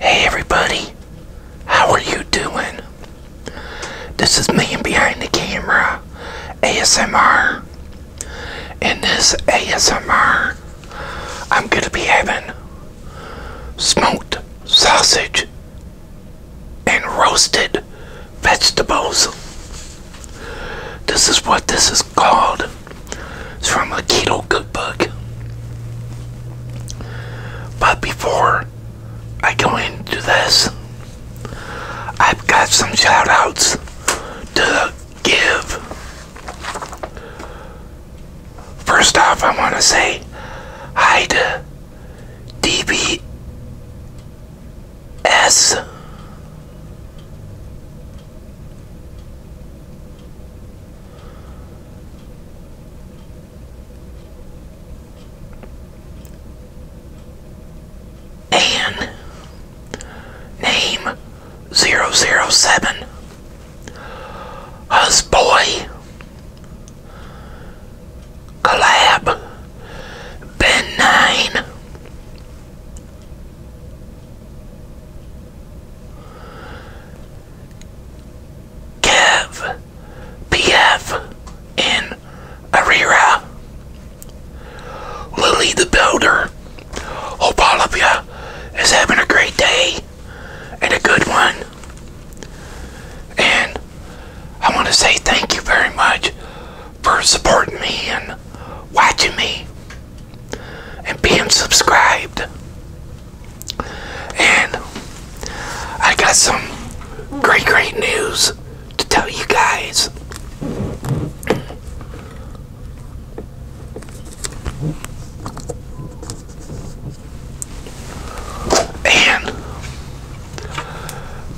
Hey everybody, how are you doing? This is me behind the camera, ASMR. In this ASMR, I'm going to be having smoked sausage and roasted vegetables. This is what this is called. It's from a keto cookbook. But before I go into this, I've got some shout outs to give. First off, I want to say hi to DBS. And name 007 Husboy Collab Ben 9 Kev PF in Arira Lily the Builder. Hope is having a great day and a good one. And I want to say thank you very much for supporting me and watching me and being subscribed. And I got some great, great news to tell you guys. And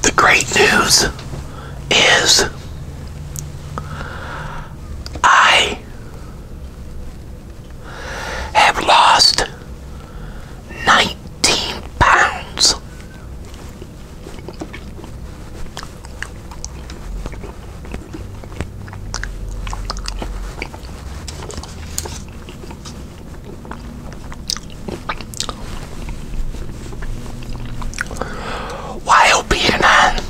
the great news is I have lost 19 pounds. While being on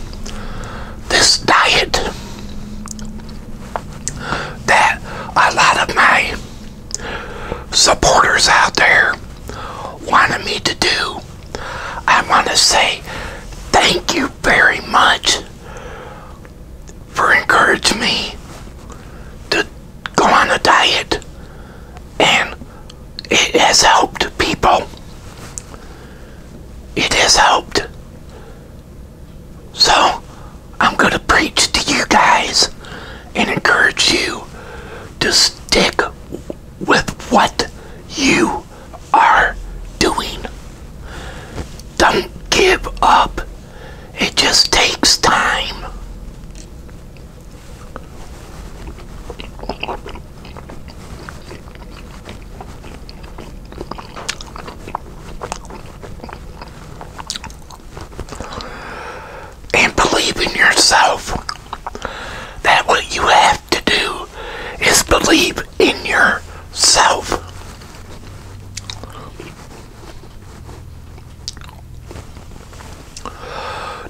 this diet, that a lot of my supporters out there wanted me to do. I want to say thank you very much for encouraging me to go on a diet and it has helped people. It has helped so, I'm going to preach to you guys and encourage you to stick with what you are doing. Don't give up. It just takes time. And believe in yourself that what you have to do is believe in yourself.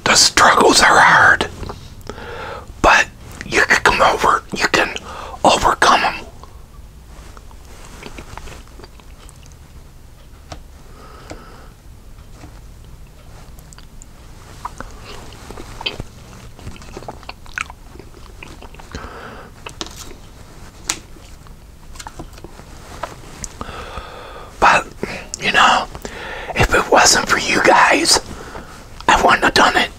The struggles are hard, but you can come over, you can overcome them but, you know, if it wasn't for you guys, I wouldn't have done it.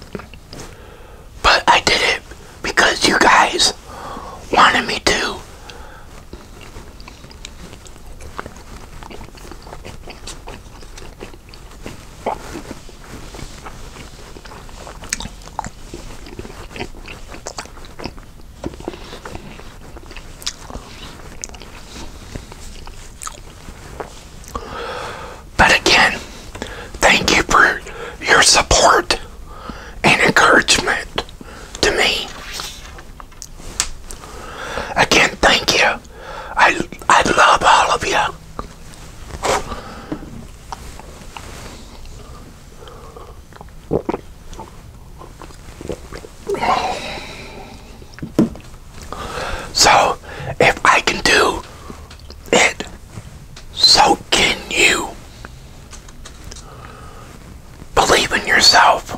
But I did it because you guys wanted me to. But again, thank you for your support and encouragement to me. Again, thank you. I, I love all of you. So, if I can do it so can you believe in yourself?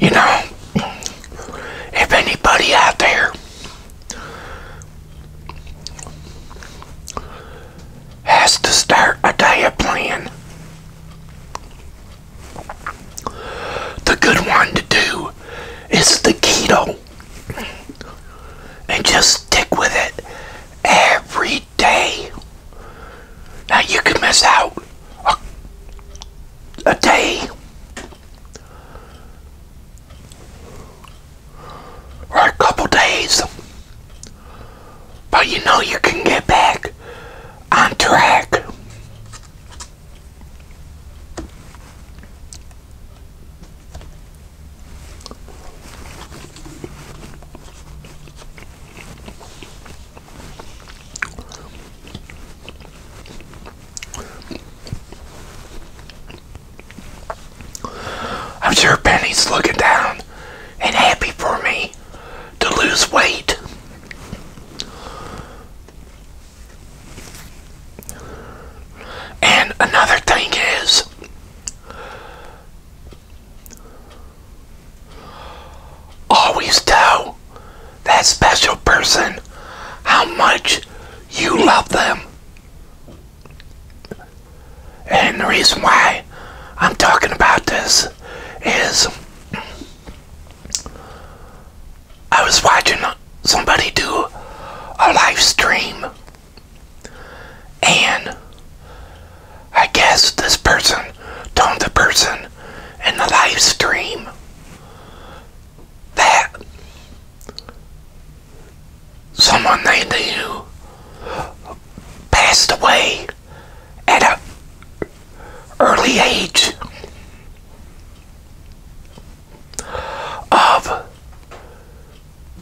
You know, if anybody out there has to start a diet plan, the good one to do is the keto and just stick with it every Day. Now you can miss out a, a day or a couple days, but you know you can get back on track. I'm sure Penny's looking down and happy for me to lose weight. And another thing is, Always tell that special person how much you love them. And the reason why I'm talking about this is I was watching somebody do a live stream and I guess this person told the person in the live stream that someone named you passed away at a early age of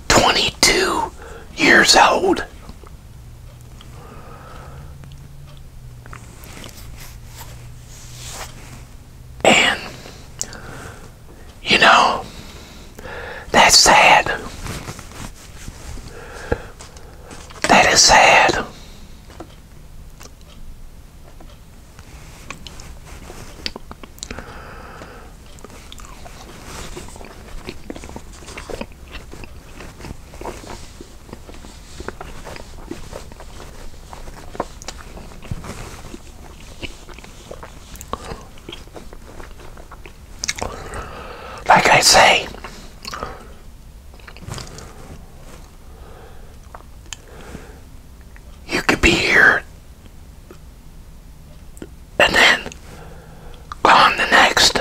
22 years old. And, you know, that's sad. That is sad. Like I say, you could be here and then on the next.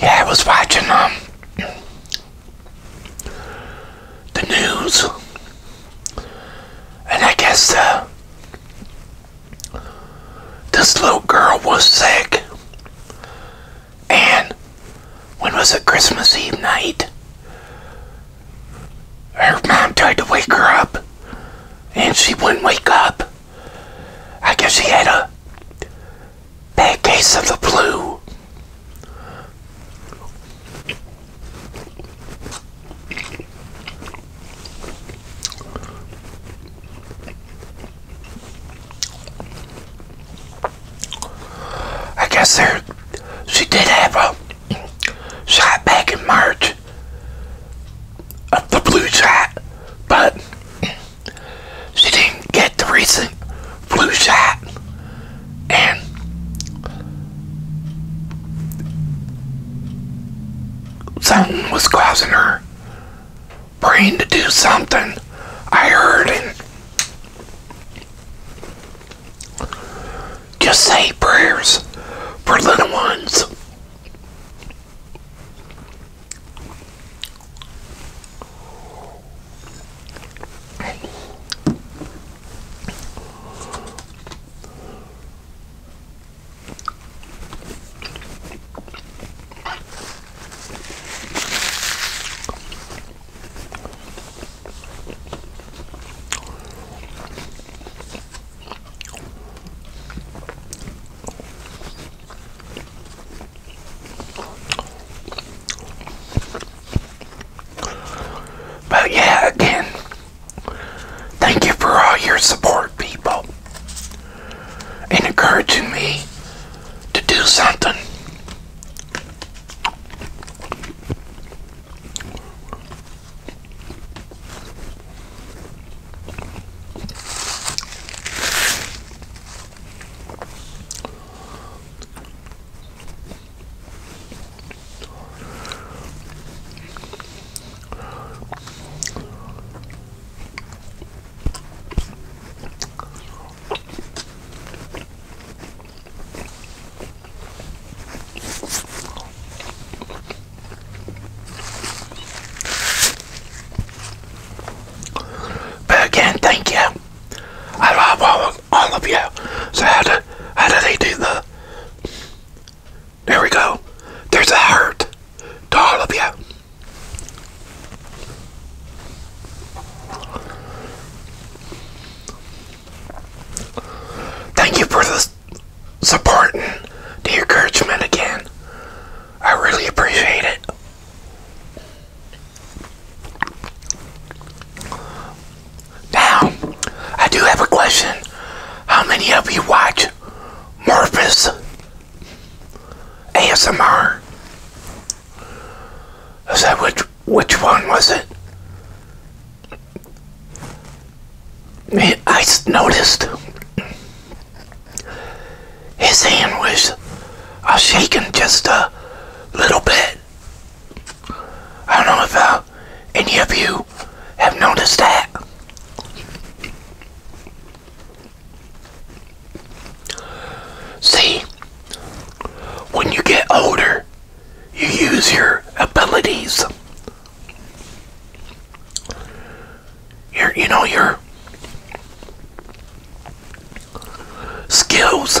Yeah, I was watching um the news, and I guess uh, this little girl was sick, and when was it? Christmas Eve night. Her mom tried to wake her up, and she wouldn't wake up. I guess she had a bad case of the flu. I guess there she did have a shot back in March of the blue shot, but she didn't get the recent flu shot and something was causing her Praying to do something. I heard him. just say prayers for little ones. But yeah, again, thank you for all your support, people. It occurred to me to do something. But again, thank you. I love all of, you. So how do how do they do the? There we go. There's a heart to all of you. Thank you for the support and the encouragement again. I really appreciate it. Now, I do have a question. How many of you watch Morpheus ASMR. I said, which, which one was it? I just noticed his hand was uh, shaking just a little bit. I don't know if uh, any of you have noticed that. See, when you get older, you use your abilities. Your, you know, your skills.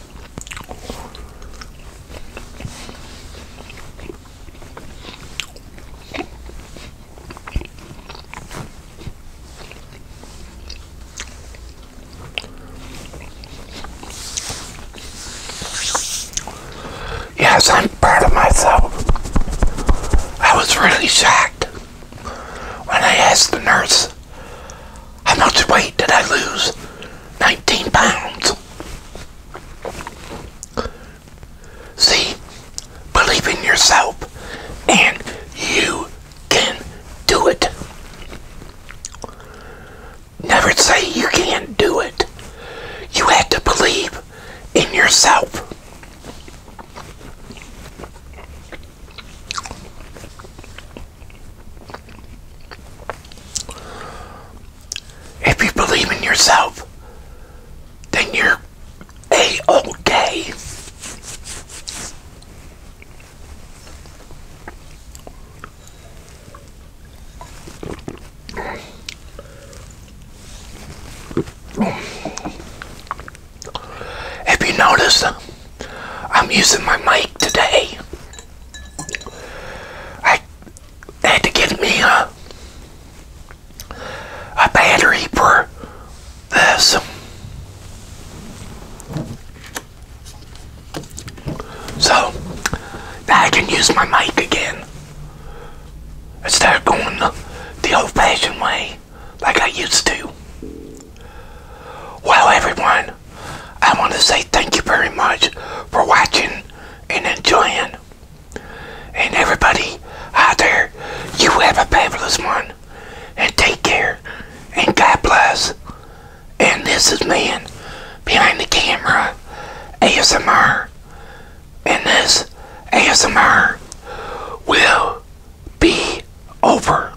Yes, I'm proud of myself. I was really shocked when I asked the nurse how much weight did I lose? 19 pounds. See, believe in yourself and you can do it. Never say you can't do it. You have to believe in yourself. If you believe in yourself, then you're a okay. If you notice, I'm using my mic today I had to get me a, a battery for this. So now I can use my mic again instead start going the, the old fashioned way like I used to. Well, everyone, I want to say thank you very much for watching and enjoying. And everybody out there, you have a fabulous one. And take care. And God bless. And this is man behind the camera, ASMR. And this ASMR will be over.